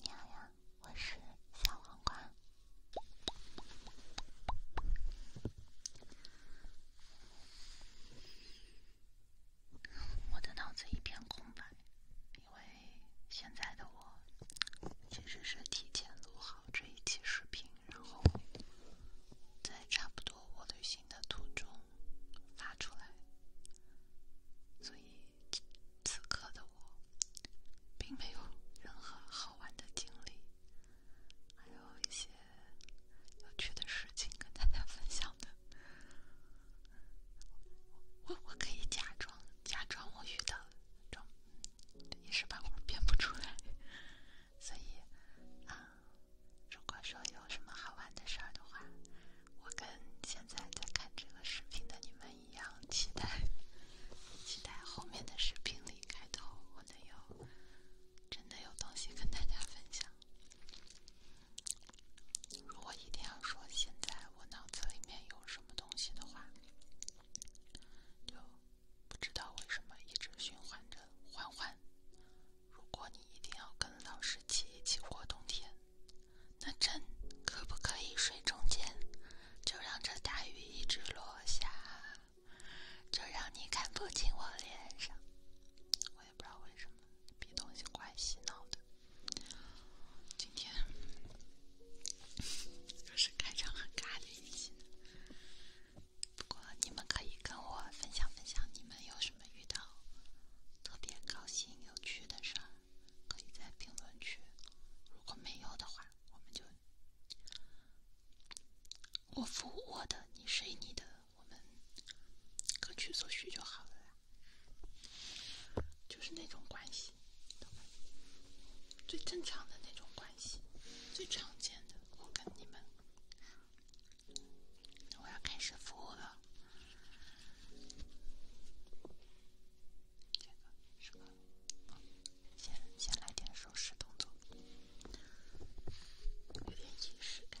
你好呀，我是小黄瓜。我的脑子一片空白，因为现在的我其实是提前录好这一期视频，然后在差不多我就行。的途中发出来，所以此刻的我并没有任何好玩的经历，还有一些有趣的事情跟大家分享的。我我可以假装假装我遇到了，装一时半会儿编不出来，所以啊，如果说有什么好玩的事儿的话。我跟现在在看这个视频的你们一样，期待期待后面的视频里开头，我能有真的有东西跟大家分享。如果一定要说现在我脑子里面有什么东西的话，就不知道为什么一直循环着欢欢。如果你一定要跟老十七一起过冬天。那朕可不可以睡中间？就让这大雨一直落下，就让你看不清我脸上。我也不知道为什么，比东西怪洗脑的。今天又是开场很尬的一期，不过你们可以跟我分享分享你们有什么。你们遇到特别高兴有趣的事儿，可以在评论区；如果没有的话，我们就我付我的，你睡你的，我们各取所需就好了。就是那种关系，最正常的那种关系，最常见的。我跟你们。我要开始服务了，这个十个，先先来点收拾动作，有点仪式感。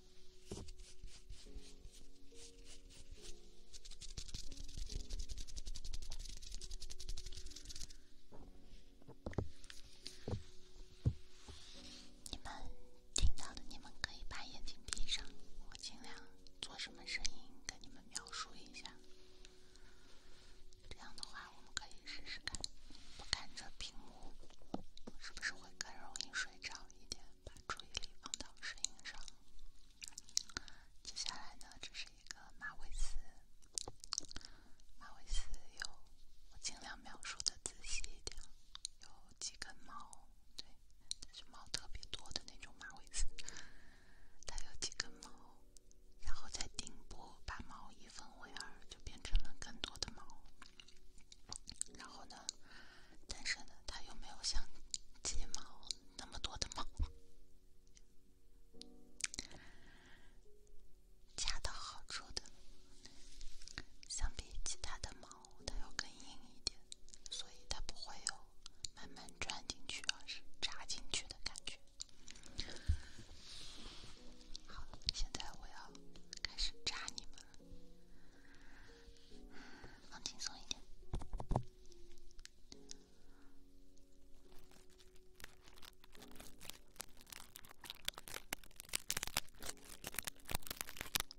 你们听到的，你们可以把眼睛闭上。我尽量做什么声音跟你们描述一下。这样的话，我们可以试试看，不看着屏幕，是不是会更容易睡着一点？把注意力放到声音上。接下来呢，这是一个马尾丝。马尾丝有，我尽量描述的仔细一点。有几根毛，对，就是毛特别多的那种马尾丝。它有几根毛，然后在顶部把毛一分为二，就变成了更多的毛。然后呢？但是呢，它又没有像睫毛那么多的毛，恰到好处的。相比其他的毛，它要更硬一点，所以它不会有慢慢钻进去而是扎进去的感觉。好，现在我要开始扎你们了。放轻松一点。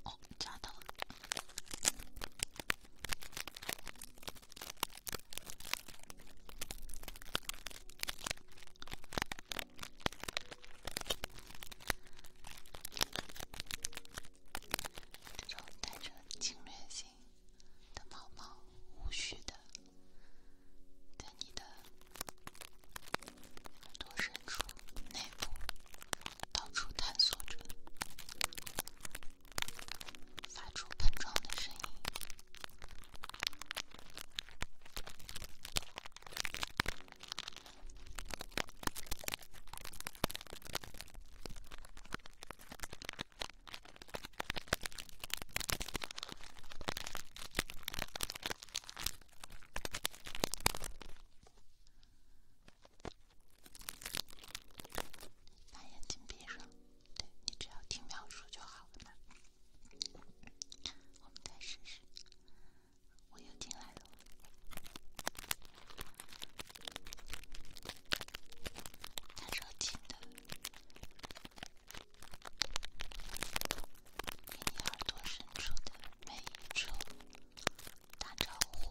哦，夹到了。这种带着侵略性的毛毛，无序的在你的耳朵深处内部到处探索着，发出碰撞的声音。把眼睛闭上，对你只要听描述就好了。嘛。我们再试试。我又进来了，他热情的，你耳朵深处的每一处打招呼。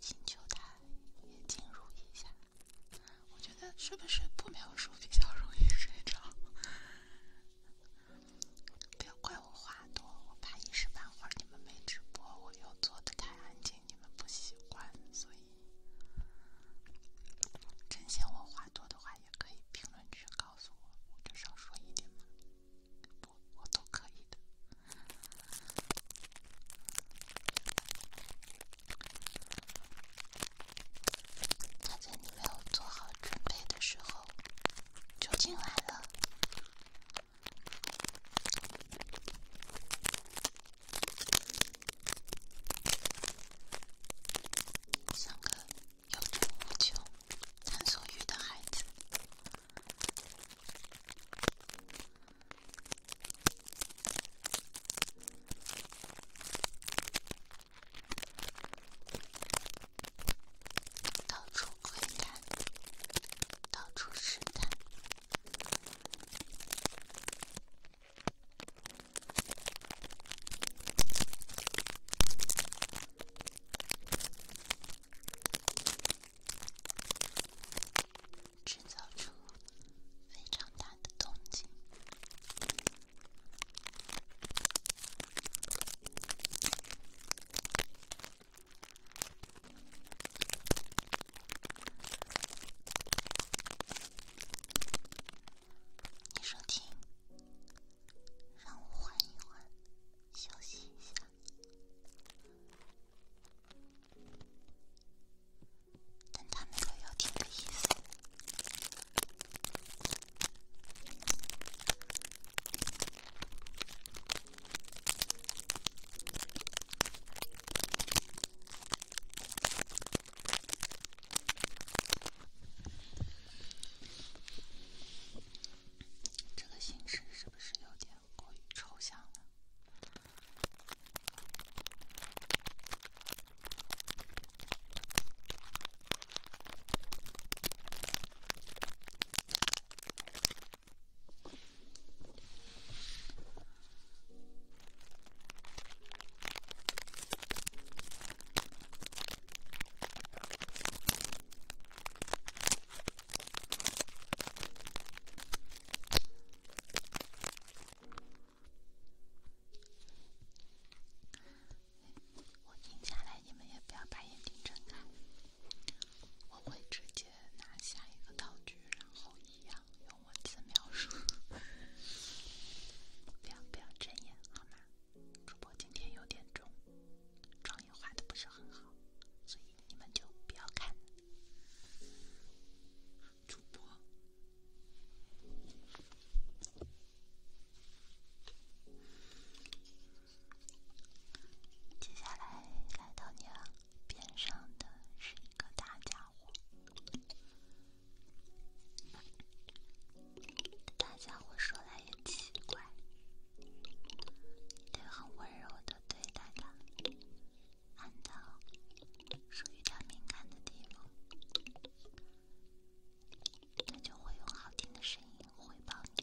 请求他也进入一下。我觉得睡不睡不描述比较容易睡着？不要怪我话多，我怕一时半会儿你们没直播，我又坐得太安静，你们不习惯。所以，真嫌我话多的话，也可以评论区告诉我，我就少说一点嘛。我都可以的。他在你没有做好准备的时候就进来了，像个有求无求、探索欲的孩子。到处窥探，到处试探。制造出非常大的动静。你收听，让我缓一缓，休息一下。但他没有要听意思，这个性质是不是有点？过于抽象了。我听下来，你们也不要把眼睛睁开。我会直接拿下一个道具，然后一样用文字描述。不要不要睁眼，好吗？主播今天有点重，妆也化的不是很好，所以你们就不要看。主播，接下来来到你了。边上的是一个大家伙，大家伙说来也奇怪，得很温柔的对待它。按到属于他敏感的地方，他就会用好听的声音回报你。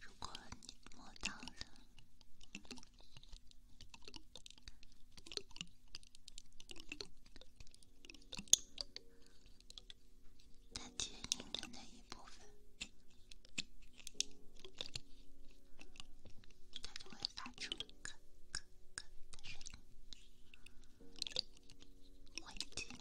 如果你摸到了它坚硬的那一部分，它就会发出“咯咯咯”的声音，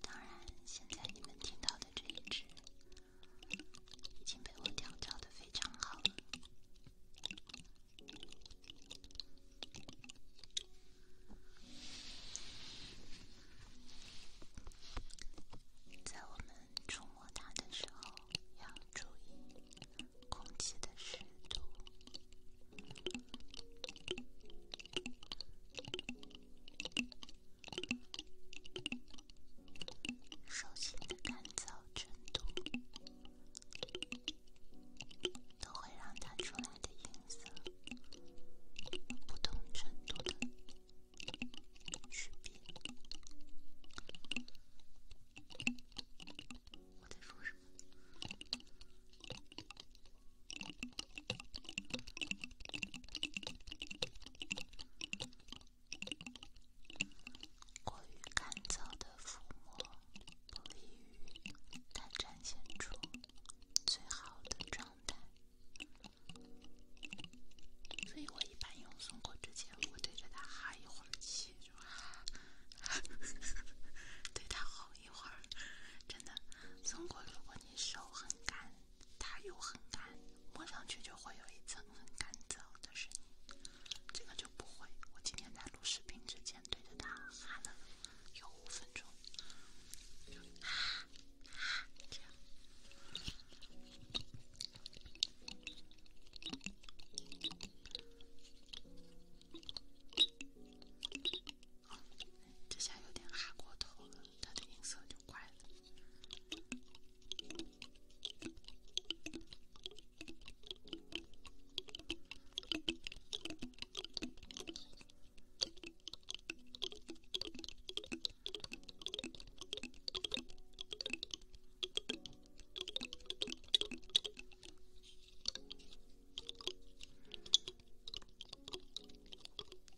当然，现在你们听到的这一只已经被我调教的非常好了。在我们触摸它的时候，要注意空气的湿度。手心的干燥程度都会让它出来的音色不同程度的区别。我在说什么？过于干燥的抚摸不利于它展现出最好的状态，所以我一般用松果之前，我对着它哈一会儿气，对它吼一会儿，真的，松果如果你手很干。它又很干，摸上去就会有一层很干燥的声音。这个就不会。我今天在录视频之前对着它哈了有五分钟，哈哈，这样。这下有点哈过头了。它的音色就怪了。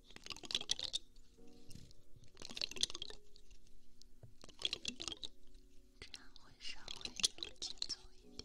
这样会稍微紧凑一点。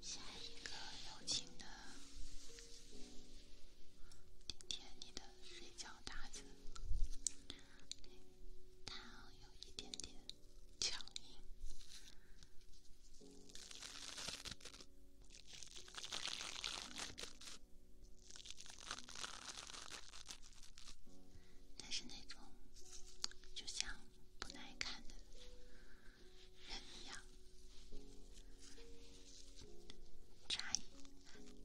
下一个，有请的，顶贴你的睡觉搭子。它有一点点强硬，它是那种就像不耐看的人一样，差一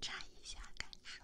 差一下感受。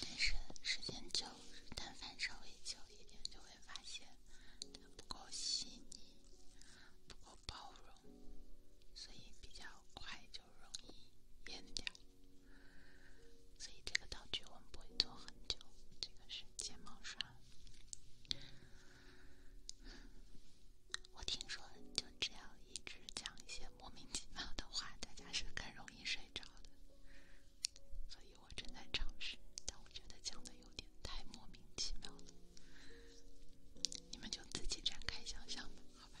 但是时间久，但凡稍微久一点，就会发现它不够细腻，不够包容，所以比较快就容易淹掉。所以这个道具我们不会做很久。这个是睫毛刷。我听说，就只要一直讲一些莫名其妙的话，大家是更容易睡着的。所以我正在尝试，但我觉得讲的有点太莫名其妙了。你们就自己展开想象吧，好吧。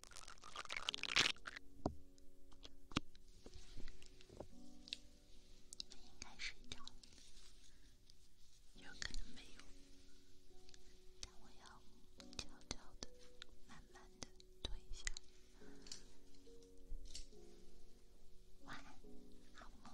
你们应该睡着了，有可能没有，但我要悄悄的、慢慢的推一下。晚安，好梦。